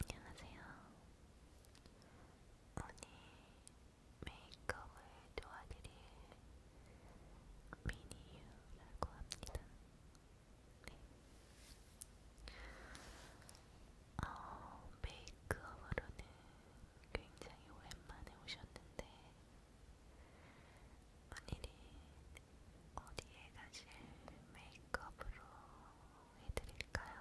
안녕하세요. 오늘 메이크업을 도와드릴 미니유라고 합니다. 네. 어, 메이크업으로는 굉장히 오랜만에 오셨는데 오늘은 어디에 가실 메이크업으로 해드릴까요?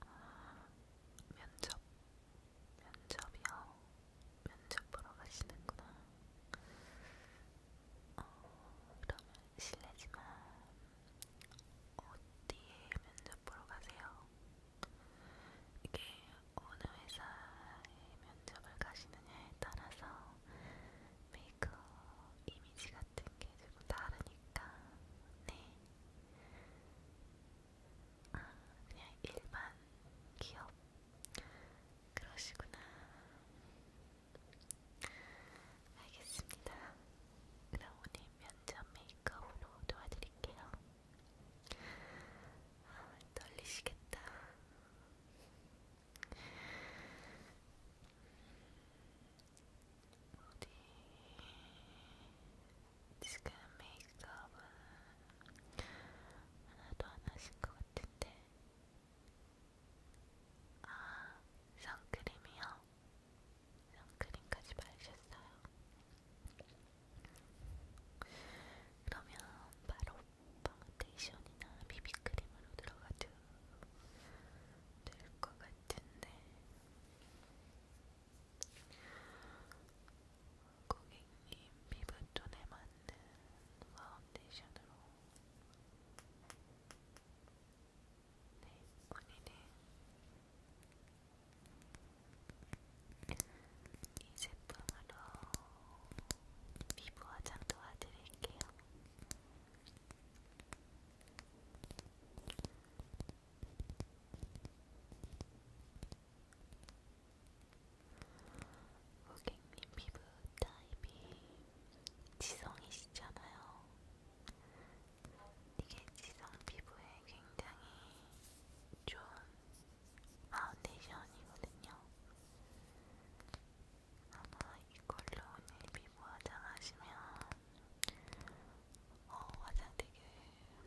아, 면접, 면접이요? 면접 보러 가시는구나. 어, 그러면 실례지만 어디에 면접 보러 가세요? 이게 어느 회사에 면접을 가시느냐에 따라서 메이크업 이미지 같은 게 조금 다르니까 네. 아, 그냥 일반 기업 그러시구나. 알겠습니다. 그럼 오늘 면접 메이크업으로 도와드릴게요. 아, 떨리시겠다. 어디 지금 메이크업은 하나도 안 하신 것 같은데. 아, 선크림이요? 선크림까지 바르셨어요? 그러면 바로 파운데이션이나 비비크림으로 들어가도 될 것 같은데 고객님 피부톤에 맞는 파운데이션으로 네, 본인의 이 제품으로 피부 화장 도와드릴게요. 고객님 피부 타입이 지성이시잖아요. 이게 지성 피부에 굉장히 좋은 파운데이션이거든요. 아마 이걸로 오늘 피부 화장하시면 어, 화장 되게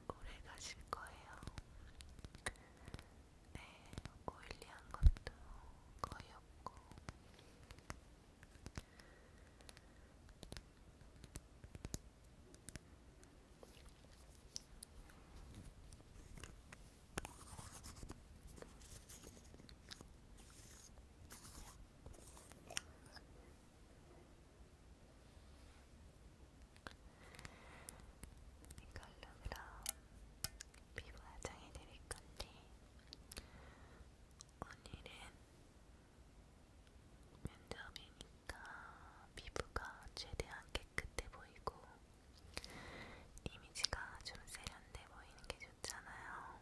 오래 가실 거예요. 네, 오일리한 것도 거의 없고. 이걸로 그럼 피부 화장해 드릴 건데 오늘은 면접이니까 피부가 최대한 깨끗해 보이고 이미지가 좀 세련돼 보이는 게 좋잖아요.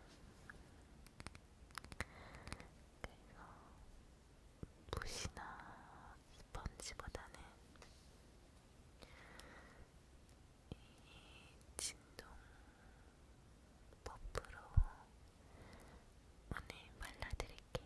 그래서 붓이나 스펀지보다는 이 진동 버프로 오늘 발라드릴게요.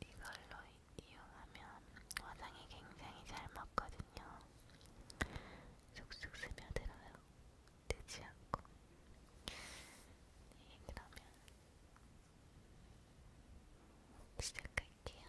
이걸로 이용하면 화장이 굉장히 잘 먹거든요. 쑥쑥 스며들어요. 뜨지 않고. 네, 그러면 시작할게요.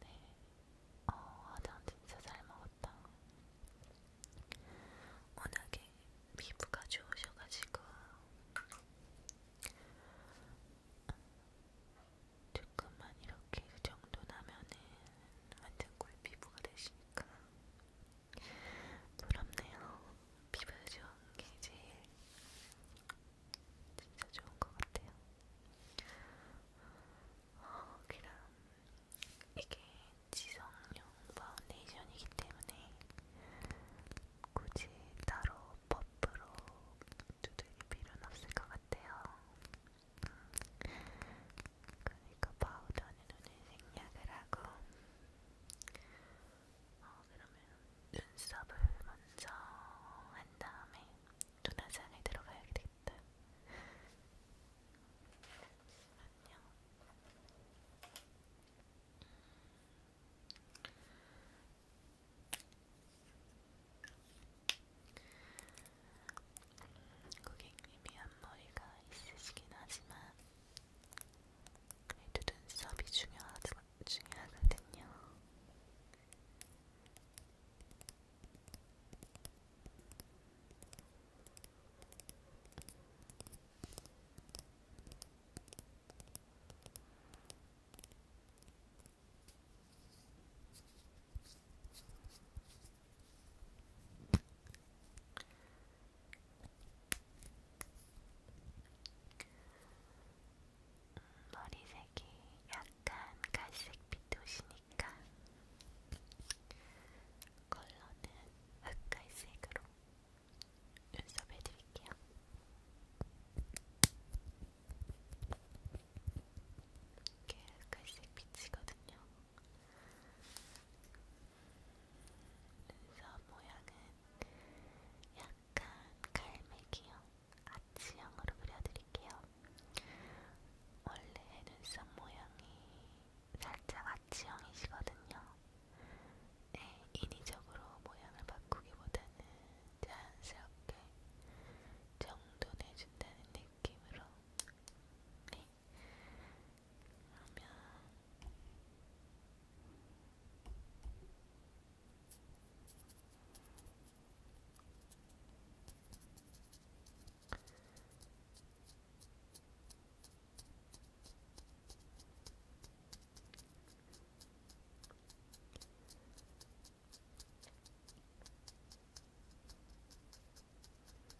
네, 어, 화장 진짜 잘 먹었다. 워낙에 피부가 좋으셔가지고 조금만 이렇게 그 정도 나면은 완전 꿀 피부가 되시니까 부럽네요. 피부 좋은 게 제일 진짜 좋은 것 같아요. 어, 그럼 이게 지성용 파운데이션이기 때문에 굳이 따로 퍼프로 두드릴 필요는 없을 것 같아요. 그러니까 파우더는 오늘 생략을 하고 어, 그러면 눈썹을 먼저 한 다음에 눈화장에 들어가야 되겠다. 잠시만요. 음, 고객님이 앞머리가 있으시긴 하지만 그래도 눈썹이 중요하, 중요하거든요. 머리색이 약간 갈색빛도시니까 컬러는 흑갈색으로 눈썹 해드릴게요. 이게 흑갈색 빛이거든요. 눈썹 모양은 약간 갈매기형 아치형으로 그려드릴게요. 원래 눈썹 모양이 살짝 아치형이시거든요. 네, 인위적으로 모양을 바꾸기보다는 자연스럽게 정돈해준다는 느낌으로 네, 그러면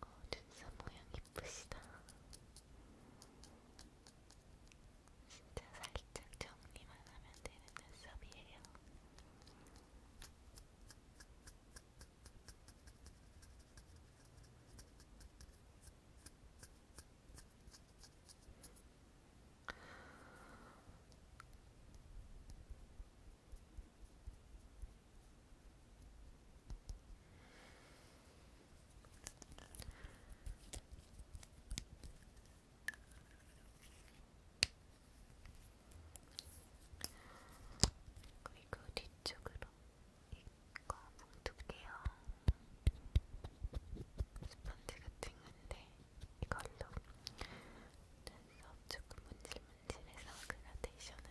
어, 눈썹 모양 예쁘시다. 진짜 살짝 정리만 하면 되는 눈썹이에요. 그리고 뒤쪽으로 이거 뭉둘게요. 스펀지 같은 건데 이걸로 눈썹 조금 문질문질해서 그라데이션을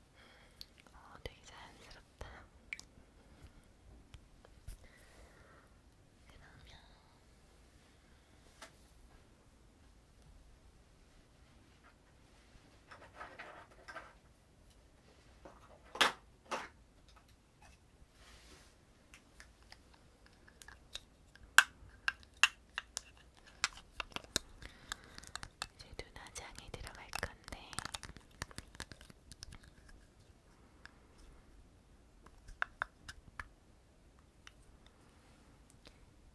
어, 되게 자연스럽다. 그러면 이제 눈화장에 들어갈 건데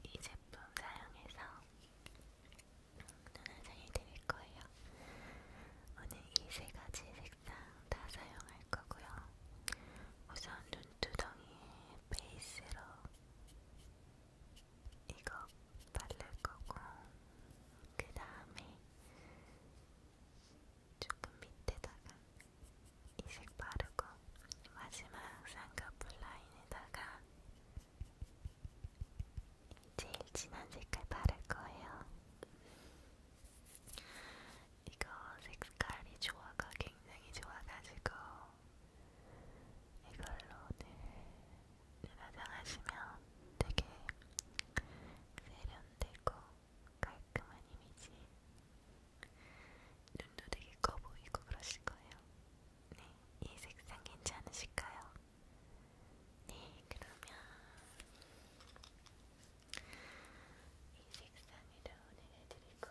이 제품 사용해서 눈화장을 드릴 거예요. 오늘 이 세 가지 색상 다 사용할 거고요. 우선 눈두덩이에 베이스로 이거 바를 거고 그 다음에 조금 밑에다가 이색 바르고 마지막 쌍꺼풀 라인에다가 제일 진한 색깔 바를 거예요. 이거 색깔이 조화가 굉장히 좋아가지고 이걸로 오늘 사장하시면 되게 세련되고 깔끔한 이미지 눈도 되게 커 보이고 그러실 거예요. 네, 이 색상 괜찮으실까요? 네, 그러면 이 색상으로 내려드리고.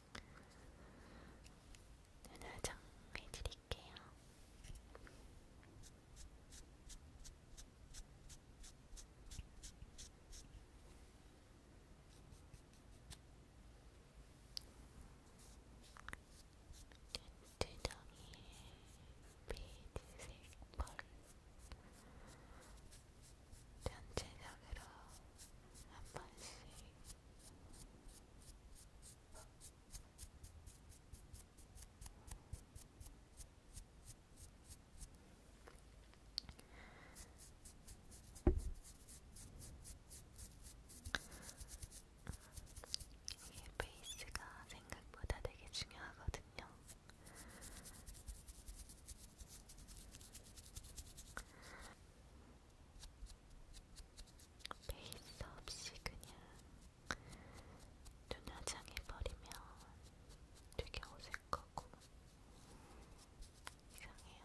눈을 정해드릴게요. 눈두덩이에 베이지색 펄 전체적으로 한 번씩 이게 베이스가 생각보다 되게 중요하거든요. 베이스 없이 그냥 눈화장 해버리면 되게 어색하고 이상해요.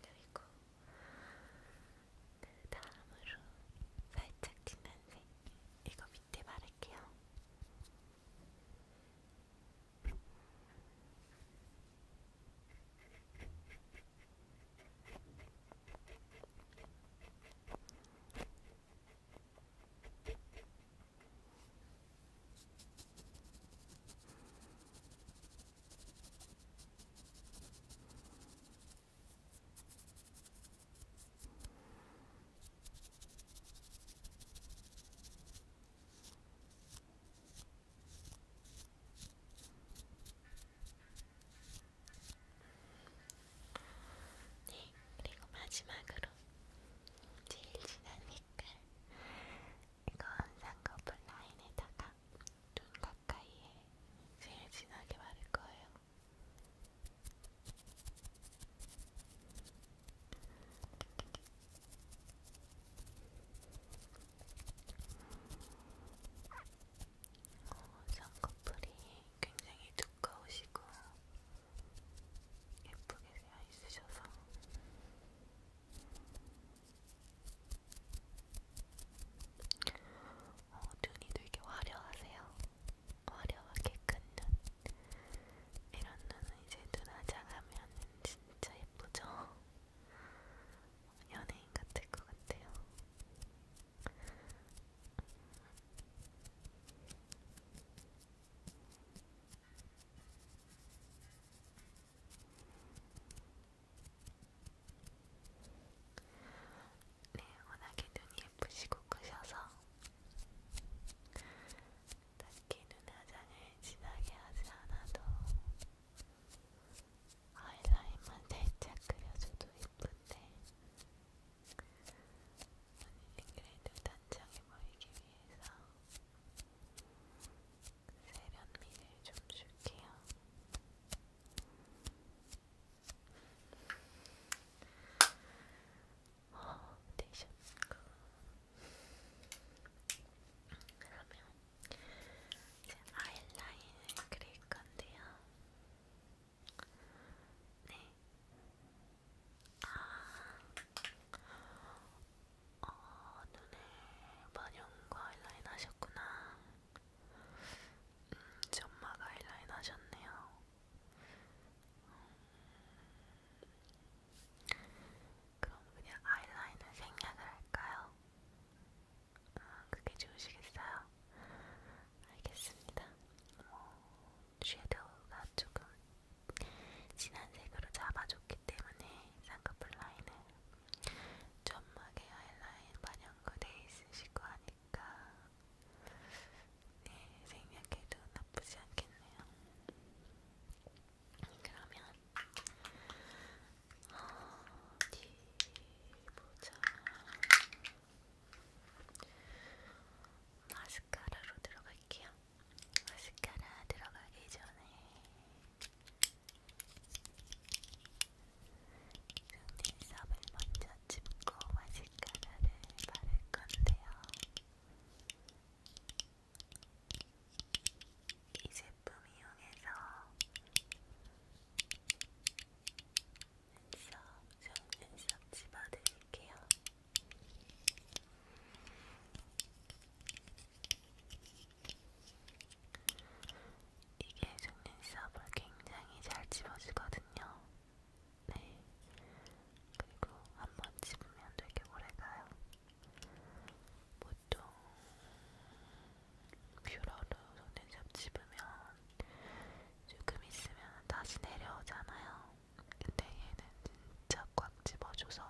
그리고 그 다음으로 살짝 진한색 이거 밑에 바를게요. 네, 그리고 마지막으로 제일 진한 색깔 이건 쌍꺼풀 라인에다가 눈 가까이에 제일 진하게 바를 거예요. 어, 쌍꺼풀이 굉장히 두꺼우시고 예쁘게 되어 있으셔서 어, 눈이 되게 화려하세요. 화려하게 큰 눈. 이런 눈은 이제 눈화장하면 진짜 예쁘죠? 연예인 같을 것 같아요. 음. 네, 워낙에 눈이 예쁘시고 크셔서 딱히 눈화장을 진하게 하지 않아도 아이라인만 살짝 그려줘도 예쁜데 본인이 그래도 단정해 보이기 위해서 세련미를 좀 줄게요. 어, 되셨을까? 네, 그러면 이제 아이라인을 그릴 건데요. 네. 아, 어, 눈에 반영과 아이라인 하셨구나. 음, 점마가 아이라인 하셨네요. 음, 그럼 그냥 아이라인을 생략을 할까요? 아, 그게 좋으시겠어요? 알겠습니다. 어, 섀도우가 조금 진한 색으로 잡아줬기 때문에 쌍꺼풀 라인을 점막에 하이라인 반영구돼 있으시고 하니까 네, 생략해도 나쁘지 않겠네요. 그러면 어디 보자. 마스카라로 들어갈게요. 마스카라 들어가기 전에 눈썹을 먼저 짚고 마스카라를 바를 건데요. 이 제품 이용해서 눈썹, 속눈썹 집어드릴게요. 이게 중립 시합을 굉장히 잘 집어주거든요. 네. 그리고 한번 집으면 되게 오래 가요. 보통 뷰러로 손에잡 집으면 조금 있으면 다시 내려오잖아요. 근데 얘는 진짜 꽉 집어줘서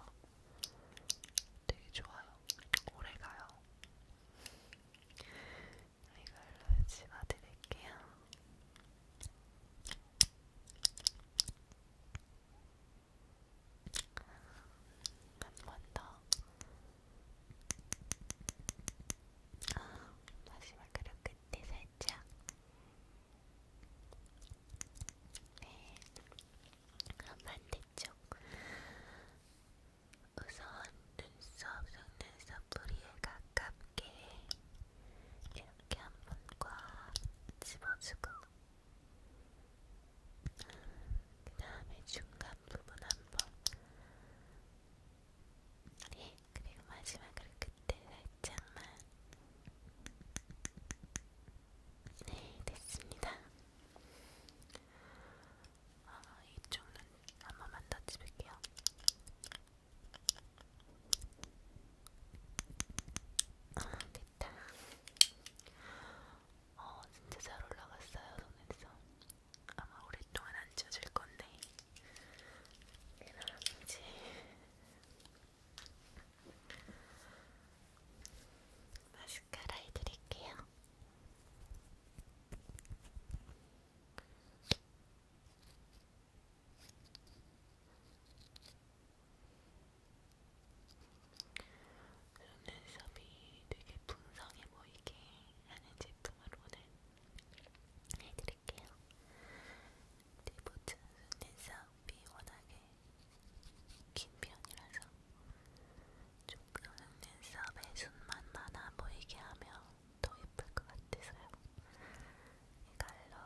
되게 좋아요. 오래 가요. 이걸로 집어드릴게요. 한 번 더. 아, 마지막으로 끝에 살짝. 네. 한번 더. 있죠. 우선 눈썹, 속눈썹 뿌리에 가깝게 이렇게 한 번과 집어주고 그 다음에 중간 부분 한번 네, 그리고 마지막으로 그때 살짝만 네, 됐습니다. 아, 이쪽 눈한 번만 더 집을게요. 아, 됐다. 어, 진짜 잘 올라갔어요, 손에서. 아마 오랫동안 안 젖을 건데. 그럼 이제 마스카라 해드릴게요. 눈썹이 되게 풍성해 보이게 하는 제품을 오늘 해드릴게요. 디보트 눈썹 마음이 워낙에 긴 편이라서 조금 눈썹에 숱만 많아 보이게 하면 더 예쁠 것 같아서요. 이갈로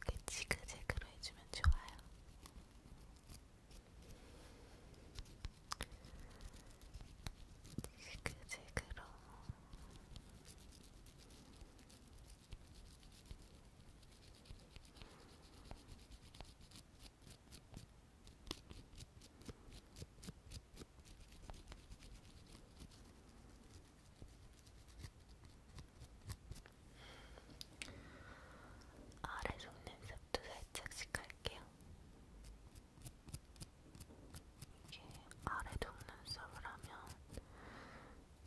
이렇게 지그재그로 해주면 좋아요. 지그지그로 아래 속눈썹도 살짝씩 할게요. 이게 아래 눈썹을 하면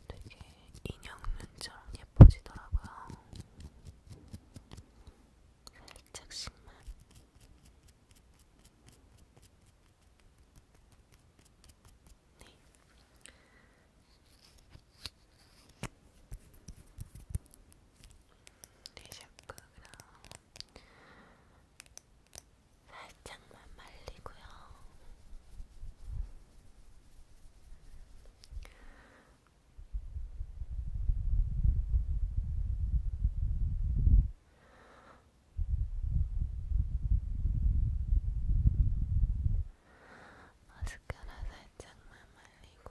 되게 인형 눈처럼 예뻐지더라고요. 살짝씩만. 네. 네, 샤크랑 살짝만 말리고요. 마스카라 살짝만 말리고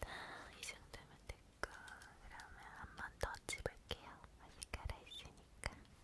다이 정도면 됐고 그러면 한 번 더 집을게요. 아직 갈아 있으니까.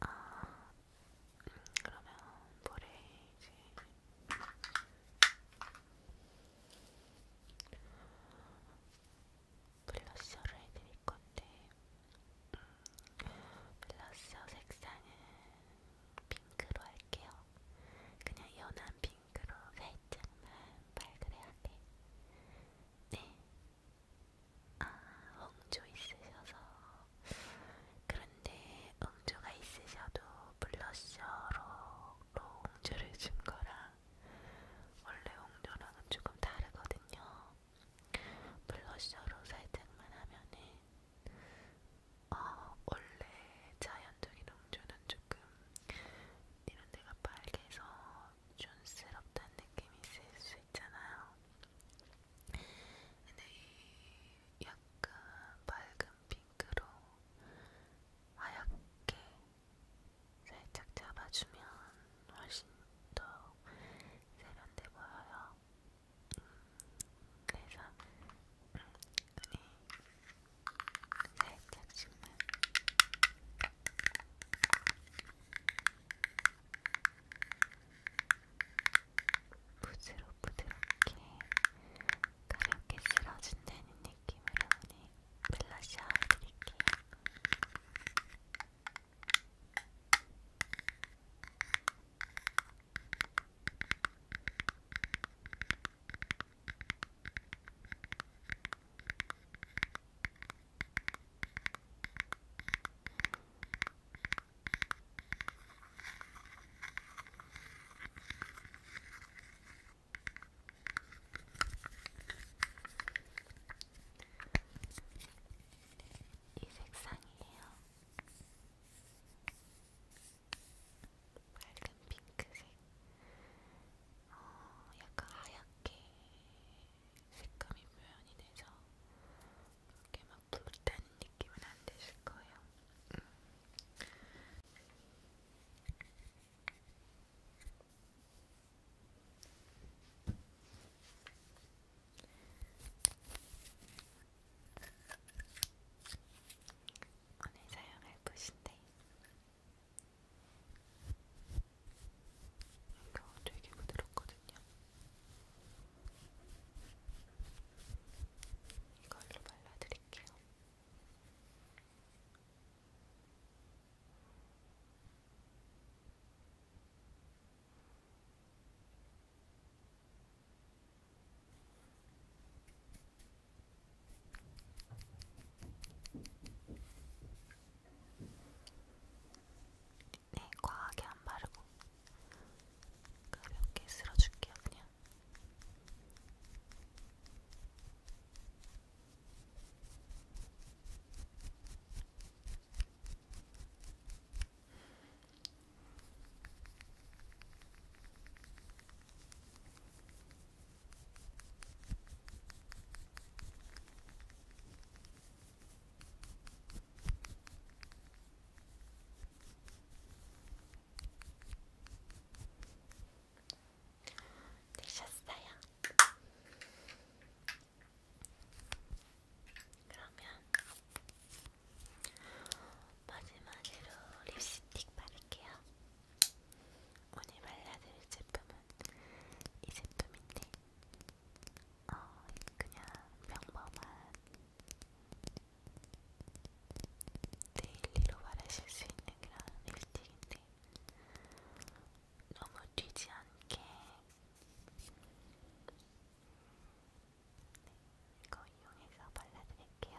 아, 음, 그러면 볼에 이제 블러셔를 해드릴 건데 음, 블러셔 색상은 핑크로 할게요. 그냥 연한 핑크로 살짝만 발그레하게. 네. 아, 홍조 있으셔서 그런데 응조가 있으셔도 블러셔로 응조를 준 거랑 원래 응조랑은 조금 다르거든요. 블러셔로 살짝만 하면은 어, 원래 자연적인 응조는 조금 이런 데가 빨개서 촌스럽다는 느낌이 있을 수 있잖아요. 근데 이 약간 밝은 핑크로 하얗게 살짝 잡아주면 훨씬 더 세련돼 보여요. 음, 그래서 음, 눈이 살짝씩만 부드러 부드럽게 가볍게 쓸어준다는 느낌으로 오늘 블러셔 드릴게요. 이 색상이에요. 밝은 핑크색, 어, 약간 하얗게 색감이 표현이 돼서 이렇게 막 부르다는 느낌은 안 드실 거예요. 음. 오늘 사용할 붓인데 이거 되게 부드럽거든요. 이걸로 발라드릴게요. 네, 과하게 안 바르고 가볍게 쓸어줄게요, 그냥. 되셨어요? 그러면 마지막으로 립스틱 바를게요. 오늘 발라드릴 제품은 이 제품인데 어, 그냥 평범한 데일리로 바르실 수 있는 그런 립스틱인데 너무 튀지 않게 네, 이거 이용해서 발라드릴게요.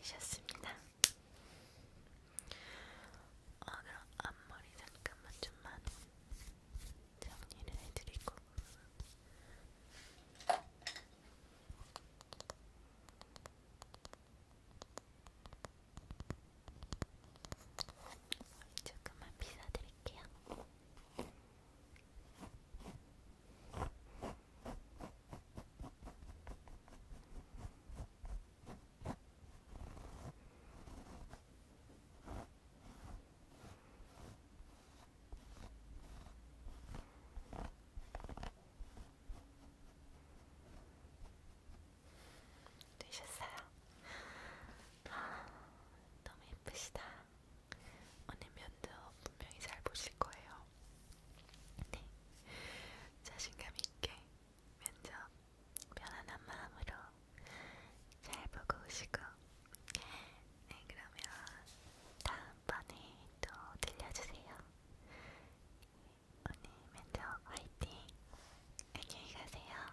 되셨습니다. 어, 그럼 앞머리 잠깐만 좀만 정리를 해드리고. 조금만 빗어드릴게요. 되셨어요? 아, 너무 예쁘시다. 오늘면도 분명히 잘 보실 거예요. 네. 자신감 있게 면접 편안한 마음으로 잘 보고 오시고 네 그러면 다음번에 또 들려주세요. 네, 오늘 면접 화이팅! 안녕히 가세요.